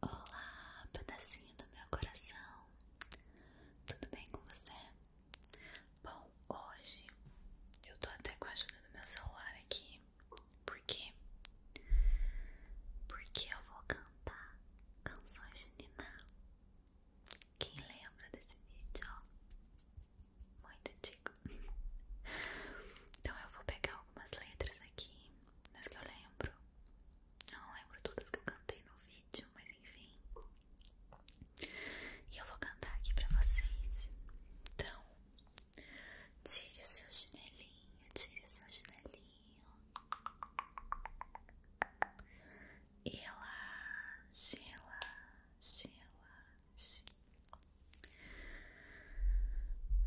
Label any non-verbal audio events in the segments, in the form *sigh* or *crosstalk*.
Olá, pedacinho do meu coração, tudo bem com você? Bom, hoje eu tô até com a ajuda do meu celular aqui, por quê? Porque eu vou cantar canções de Nina. Quem lembra desse vídeo? Muito antigo. *laughs* Então eu vou pegar algumas letras aqui, mas que eu lembro. Não lembro todas que eu cantei no vídeo, mas enfim. E eu vou cantar aqui pra vocês. Então, tire o seu chinelinho, tire o seu chinelinho. E relaxe, relaxe, relaxe. Relaxe, relaxe,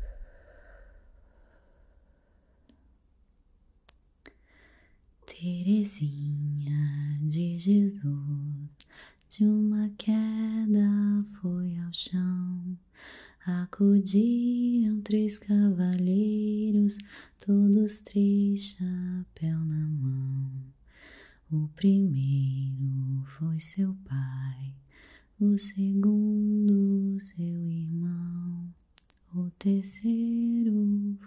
relaxe, relaxe Terezinha de Jesus, de uma queda foi ao chão. Acudiram três cavalheiros, todos três chapéu na mão. O primeiro foi seu pai, o segundo seu irmão, o terceiro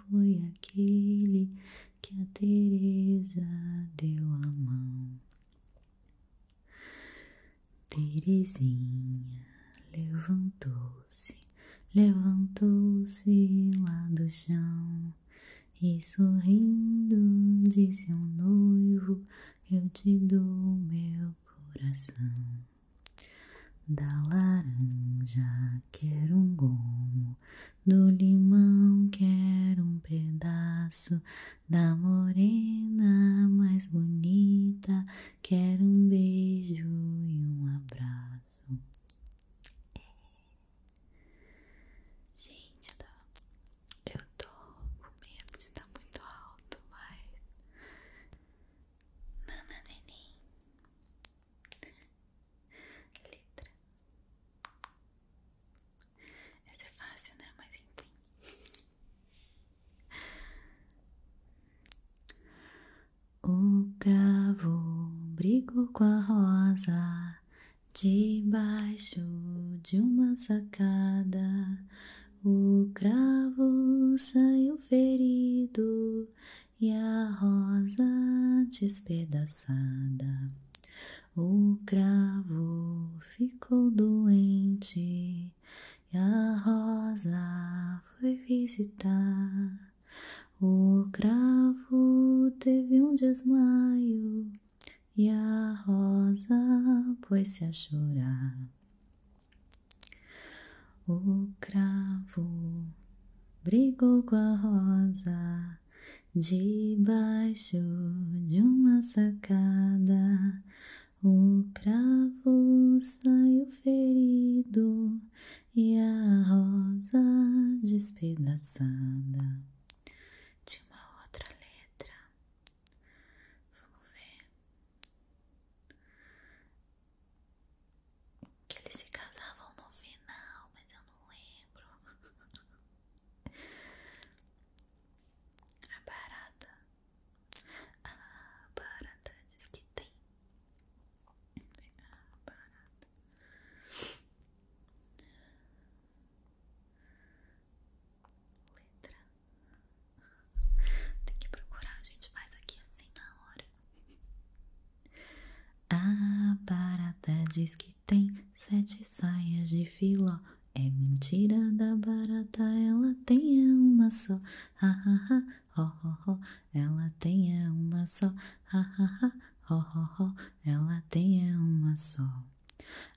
foi aquele que a Teresa deu a mão. Terezinha levantou-se, levantou-se lá do chão e sorrindo disse ao noivo: Eu te dou meu coração. Da laranja quero um gomo, do limão quero um pedaço, da morena mais bonita quero um beijo e um abraço. Gente, eu tô, eu tô com medo de estar tá muito alto, mas Nana neném Letra Essa é fácil, né? Mas enfim O cravo brigou com a rosa Debaixo de uma sacada o cravo saiu ferido e a rosa despedaçada. O cravo ficou doente e a rosa foi visitar. O cravo teve um desmaio e a rosa pôs-se a chorar. O cravo brigou com a rosa debaixo de uma sacada. O cravo saiu ferido e a rosa despedaçada. De uma outra letra. Vamos ver. Que eles se casavam no final, mas eu não lembro. A barata. A barata diz que tem. A Letra. Tem que procurar, a gente faz aqui assim na hora. A barata diz que tem sete saias de filó. É mentira da barata, ela tem é uma só. Ha ha ha, ho ho ho, ela tem é uma só. Ha ha ha, ho ho ho, ela tem é uma só.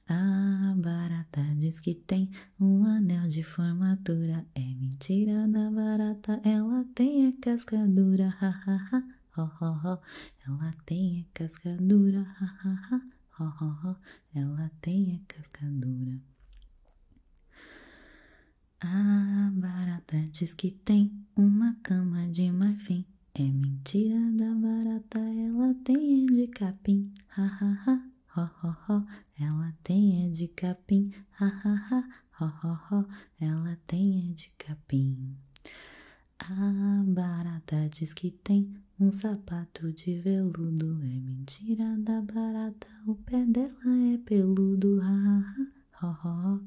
A barata diz que tem um anel de formatura é mentira na barata, ela tem a casca dura, ha ha ha, ho ho ho, ela tem a casca dura, ha ha ha, ho ho ho, ela tem a casca dura. A barata diz que tem uma cama de marfim, é mentira da barata, ela tem é de capim, ha ha ha, ho ho ho, ela tem é de capim, ha ha ha, ho ho ho, ela tem é de capim. A barata diz que tem um sapato de veludo, é mentira da barata, o pé dela é peludo, ha ha ha, ho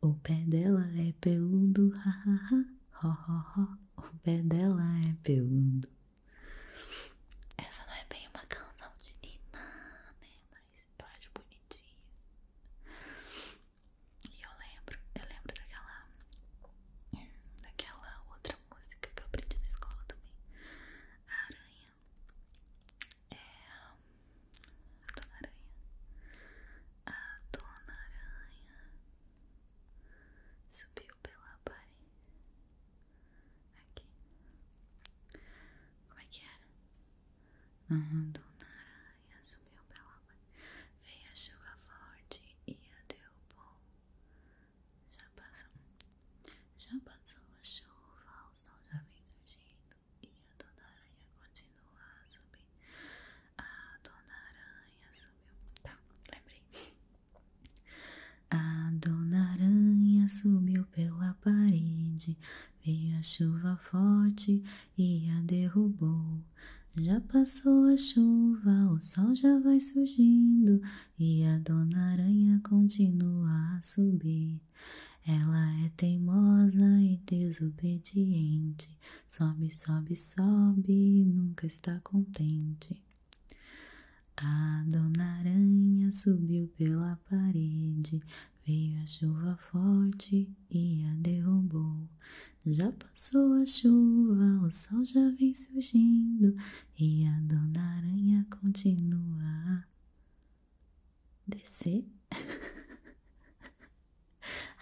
ho, o pé dela é peludo, ha ha ha, ho ho ho, o pé dela é peludo. Essa não é bem uma canção de Nina, né? eu acho bonitinha E eu lembro, eu lembro daquela daquela outra música que eu aprendi na escola também. A aranha. É a Dona Aranha. A Dona Aranha subiu pela parede. Aqui. Como é que era? A dona aranha subiu pela mãe. Veio a chuva forte e a derrubou. Já passou, já passou a chuva, o sol já vem surgindo. E a dona aranha continua a subir. A dona aranha subiu. Tá, lembrei. A dona aranha subiu pela parede. Veio a chuva forte e a derrubou. Já passou a chuva, o sol já vai surgindo e a dona aranha continua a subir. Ela é teimosa e desobediente, sobe, sobe, sobe e nunca está contente. A dona aranha subiu pela parede, Veio a chuva forte e a derrubou. Já passou a chuva, o sol já vem surgindo e a dona aranha continua a descer. *laughs*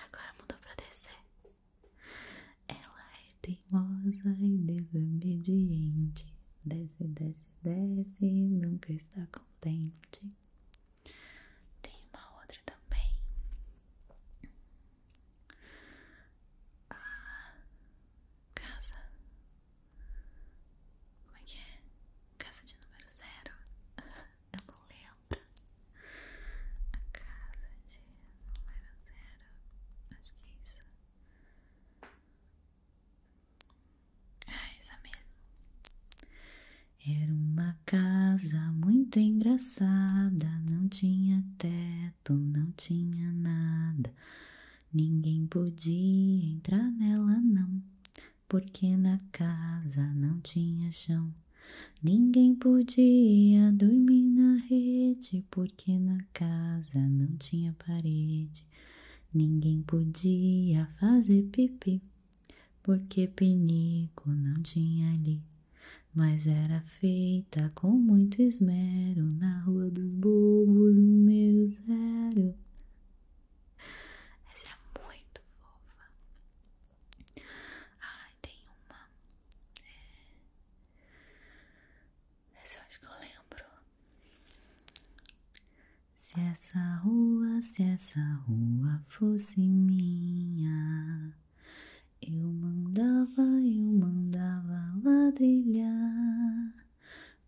Agora mudou pra descer. Ela é teimosa e desobediente. Desce, desce, desce, nunca está contente. Tem uma outra também. A casa. Como é que é? Casa de número zero. *laughs* Eu não lembro. A casa de número zero. Acho que é isso. Ah, essa Era uma casa muito engraçada, não tinha teto, não tinha nada. Ninguém podia entrar nela, não, porque na casa não tinha chão. Ninguém podia dormir na rede, porque na casa não tinha parede. Ninguém podia fazer pipi, porque pinico não tinha ali, mas era feita com muito esmero na Rua dos Bobos, número zero. Essa é muito fofa. Ai, tem uma. É. Essa eu acho que eu lembro. Se essa rua, se essa rua fosse minha, eu mandava, eu mandava ladrilhar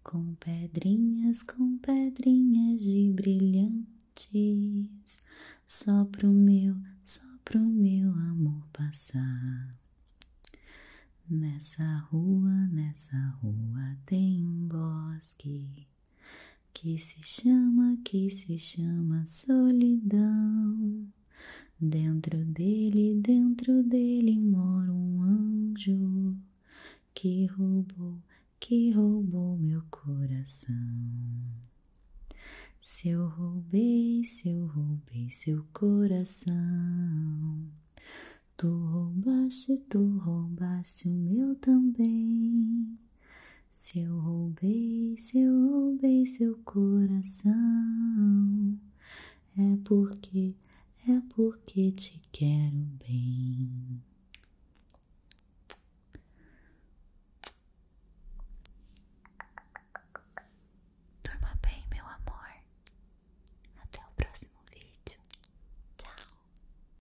com pedrinhas, com pedrinhas de brilhantes, só pro meu, só pro meu amor passar. Nessa rua, nessa rua tem um bosque que se chama, que se chama solidão. Dentro dele, dentro dele mora um anjo que roubou, que roubou meu coração. Se eu roubei, se eu roubei seu coração, tu roubaste, tu roubaste o meu também. Se eu roubei, se eu roubei seu coração, é porque, é porque te quero bem. Durma bem, meu amor. Até o próximo vídeo. Tchau.